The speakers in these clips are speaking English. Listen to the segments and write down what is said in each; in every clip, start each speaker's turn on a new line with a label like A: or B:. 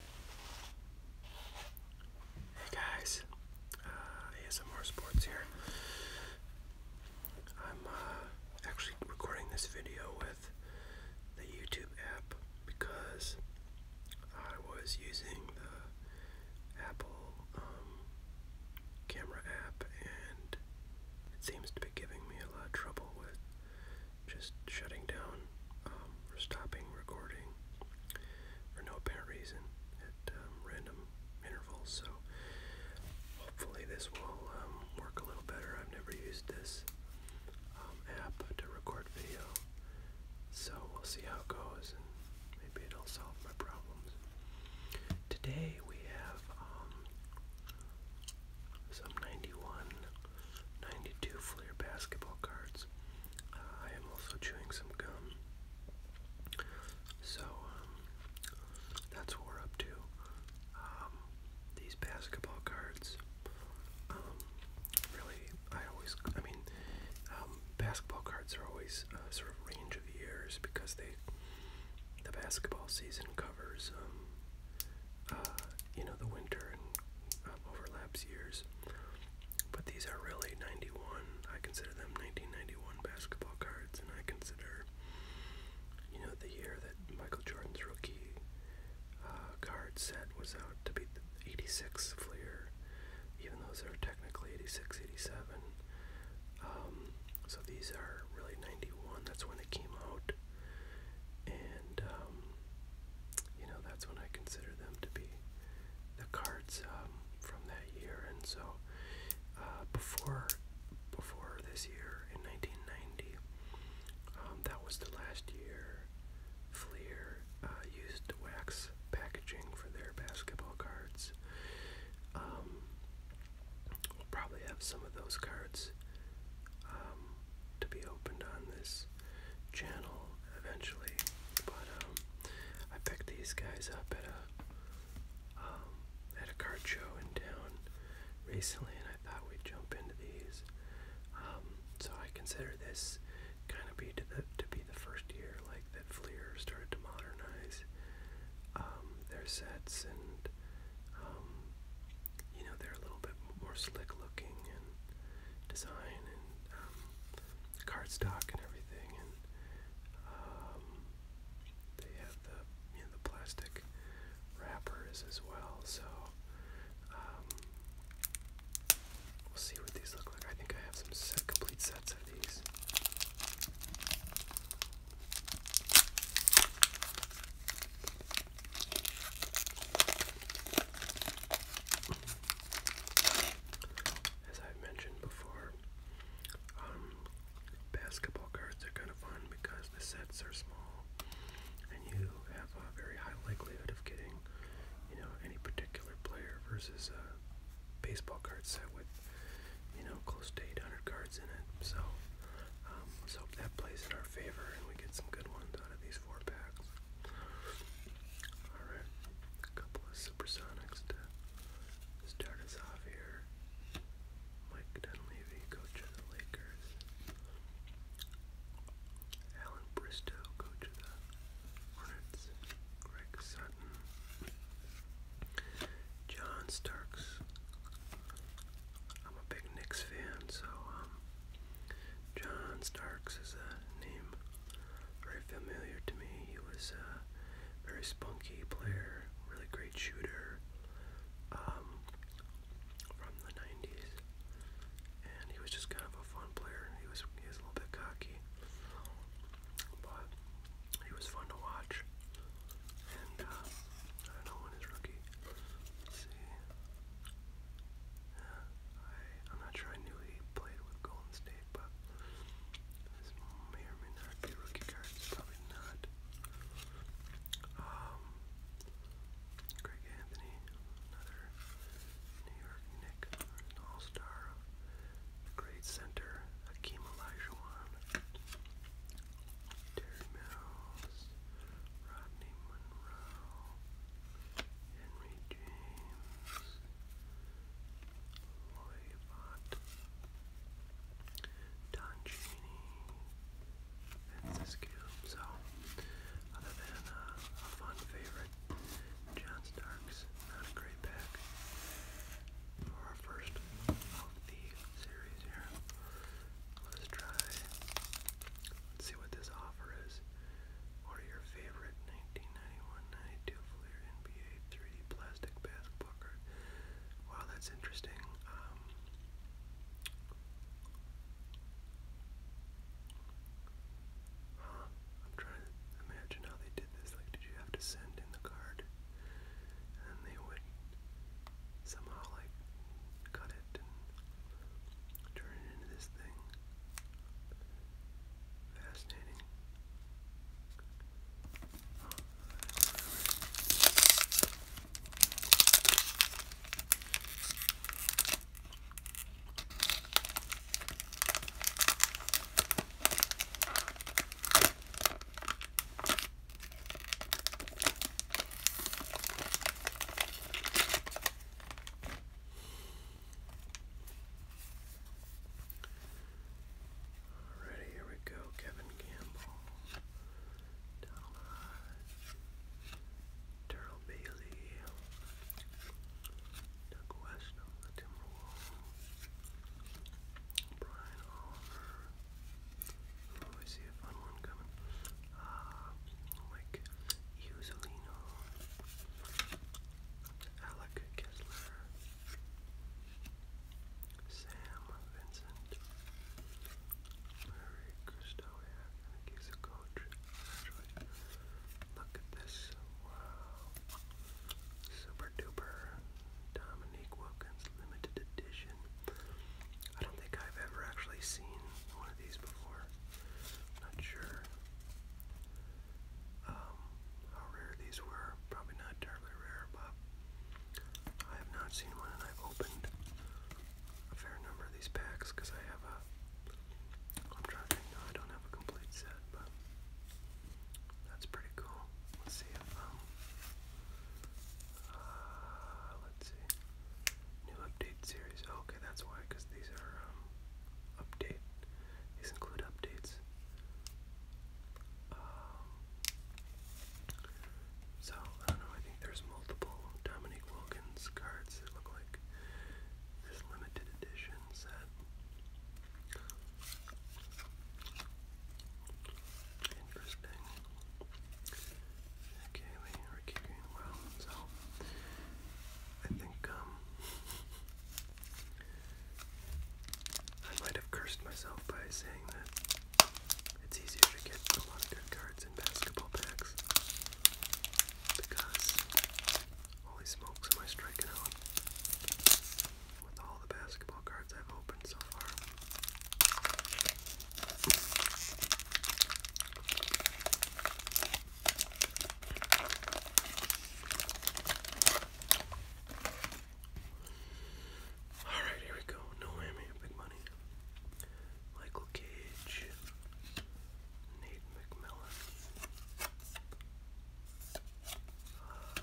A: Hey guys, uh, ASMR Sports here. I'm uh, actually recording this video with the YouTube app because I was using the Apple um, camera app and it seems to be giving me a lot of trouble with just shutting down um, or stopping recording for no apparent reason at um, random intervals. So hopefully this will um, work a little better. I've never used this app to record video, so we'll see how it goes and maybe it'll solve my problems. Today we have some 91 92 Flair basketball cards. Uh, I am also chewing some gum. So, um, that's what we're up to. Um, these basketball cards, um, really, I always, I mean, basketball cards are always uh, sort of range of years because they, the basketball season covers, uh, you know, the winter and um, overlaps years. But these are really 91. I consider them 1991 basketball cards, and I consider, you know, the year that Michael Jordan's rookie uh, card set was out to be the 86 Fleer, even those are technically 86, 87. Um, so these are really 91. That's when they came out, and um, you know, that's when I consider them to be the cards um, from that year. And so uh, before before this year in 1990, um, that was the last year Fleer uh, used wax packaging for their basketball cards. Um, we'll probably have some of those cards to be opened on this this channel eventually, but um, I picked these guys up at a um, at a card show in town recently, and I thought we'd jump into these. Um, so I consider this kind of be to the to be the first year like that Fleer started to modernize um, their sets and. Um, you know, they're a little bit more slick looking and design and um, cardstock and everything. And um, they have the you know the plastic wrappers as well. So um, we'll see what these look like. I think I have some complete sets of these. As I've mentioned before, um, basketball cards are kind of fun because the sets are small and you have a very high likelihood of getting, you know, any particular player versus a baseball card set with, you know, close to 800 cards in it. So um, let's hope that plays in our favor and we get some good ones out of these four packs. Alright, a couple of supersonics to start us off here. Mike Dunleavy, coach of the Lakers. Alan Bristow, coach of the Hornets. Greg Sutton. John Starks. I'm a big Knicks fan, so um, John Starks is a name very familiar to me. He was a very spunky player, really great shooter um, from the 90s. And he was just kind of a fun player. He was, he was a little bit cocky, but he was fun to watch. And uh, I don't know when his rookie. Let's see. I, I'm not sure I knew he played with Golden State, but this may or may not be rookie cards. Probably not. Um, Greg Anthony, another New York Nick, all-star, great center, Hakeem Olajuwon, Terry Mills. Rodney Monroe, Henry James, Lloyd Bott, Don Cheney, Vince other than uh, a fun favorite, John Starks, not a great pack for our first of the series here. Let's try. Let's see what this offer is. Order your favorite 1991-92 NBA 3D plastic basketball card. Wow, that's interesting. Um, huh? I'm trying to imagine how they did this. Like, did you have to send in the card, and they would somehow like cut it and turn it into this thing. Fascinating. Alrighty, here we go. Kevin Campbell, Daryl Bailey, Doug West the Timberwolves, Brian Oliver. Oh, I see a fun one coming uh, like Usolino, Alec Kessler, Sam Vincent, Murray Kristowiak, he's a coach, Look at this, wow. Super duper Dominique Wilkins limited edition. I don't think I've ever actually seen one of these before. Not sure um, how rare these were. Probably not terribly rare, but I have not seen one, and I've opened a fair number of these packs because I have a. I'm trying to think. No, I don't have a complete set, but that's pretty cool. Let's see if um. Uh, let's see. New update series. Oh, okay, that's why, because these are um, update. These include updates. Um, so I don't know. I think there's multiple Dominique Wilkins cards that look like this limited edition set. Interesting. Kaylee, Ricky Greenwell. So I think um, I might have cursed myself by saying that it's easier to get a lot of good cards in basketball packs because holy smokes am I striking out with all the basketball cards I've opened so far. Alright, here we go. No whammy, big money. Michael Cage, Nate McMillan. Um,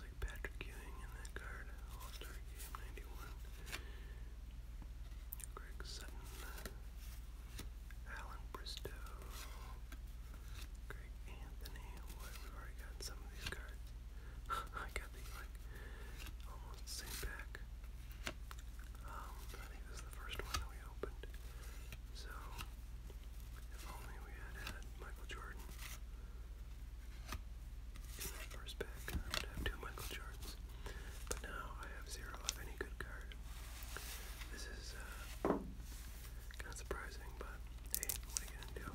A: like Patrick Ewing in that card, All Star Game 91. Greg Sutton, Alan Bristow, Greg Anthony. What? We've already got some of these cards. I got these like almost the same pack. Um, I think this is the first one that we opened. So, if only we had had Michael Jordan in my first pack, I would have two Michael Jordans, but now I have zero of any good card. This is uh, kind of surprising, but hey, what are you gonna do?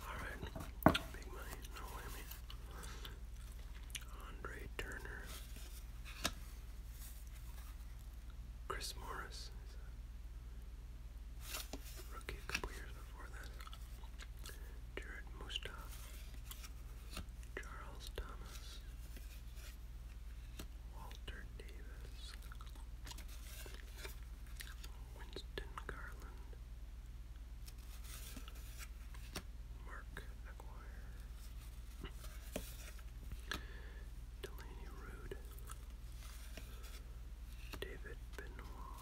A: Alright, big money, no whammy. Andre Turner. Chris Morris rookie a couple years before that. Jared Mustaf. Charles Thomas. Walter Davis, Winston Garland, Mark McGuire, Delaney Rude, David Benoit,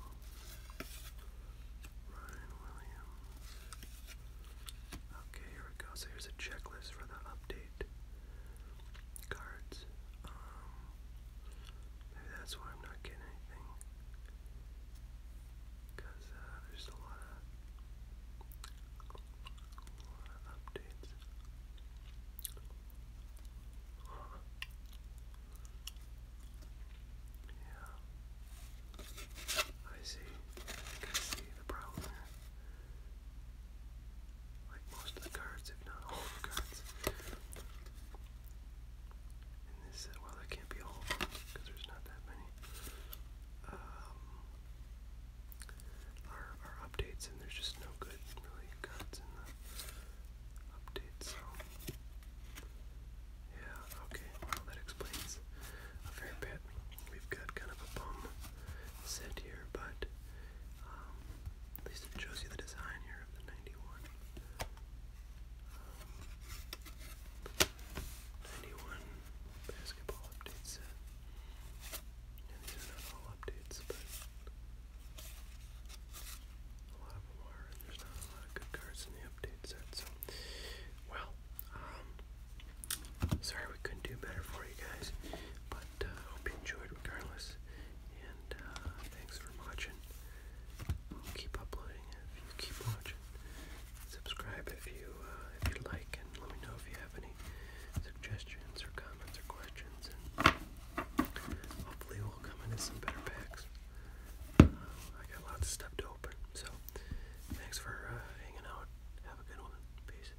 A: Ryan Williams. Okay, here we go. So Here's a checklist for the update cards. Um, maybe that's why I'm not getting anything. Because uh, there's a lot of, updates. Yeah. I see. I see the problem like most of the cards, if not all the cards. In this set, well, that can't be all of them because there's not that many. Um, our, our updates, and there's just no good, really, cards in the updates, so. Yeah, okay, well, that explains a fair bit. We've got kind of a bum set here, but um, at least it shows you the design here of the 91. 91 basketball update set. these are not all updates, but a lot of them are, and there's not a lot of good cards in the update set, so, well, um, sorry we couldn't do better for you guys, but I uh, hope you enjoyed regardless. And uh, thanks for watching. I'll keep uploading if you keep watching. Subscribe if you uh, if you like, and let me know if you have any suggestions or comments or questions. And hopefully, we'll come into some better packs. I got lots of stuff to open. So, thanks for hanging out. Have a good one. Peace.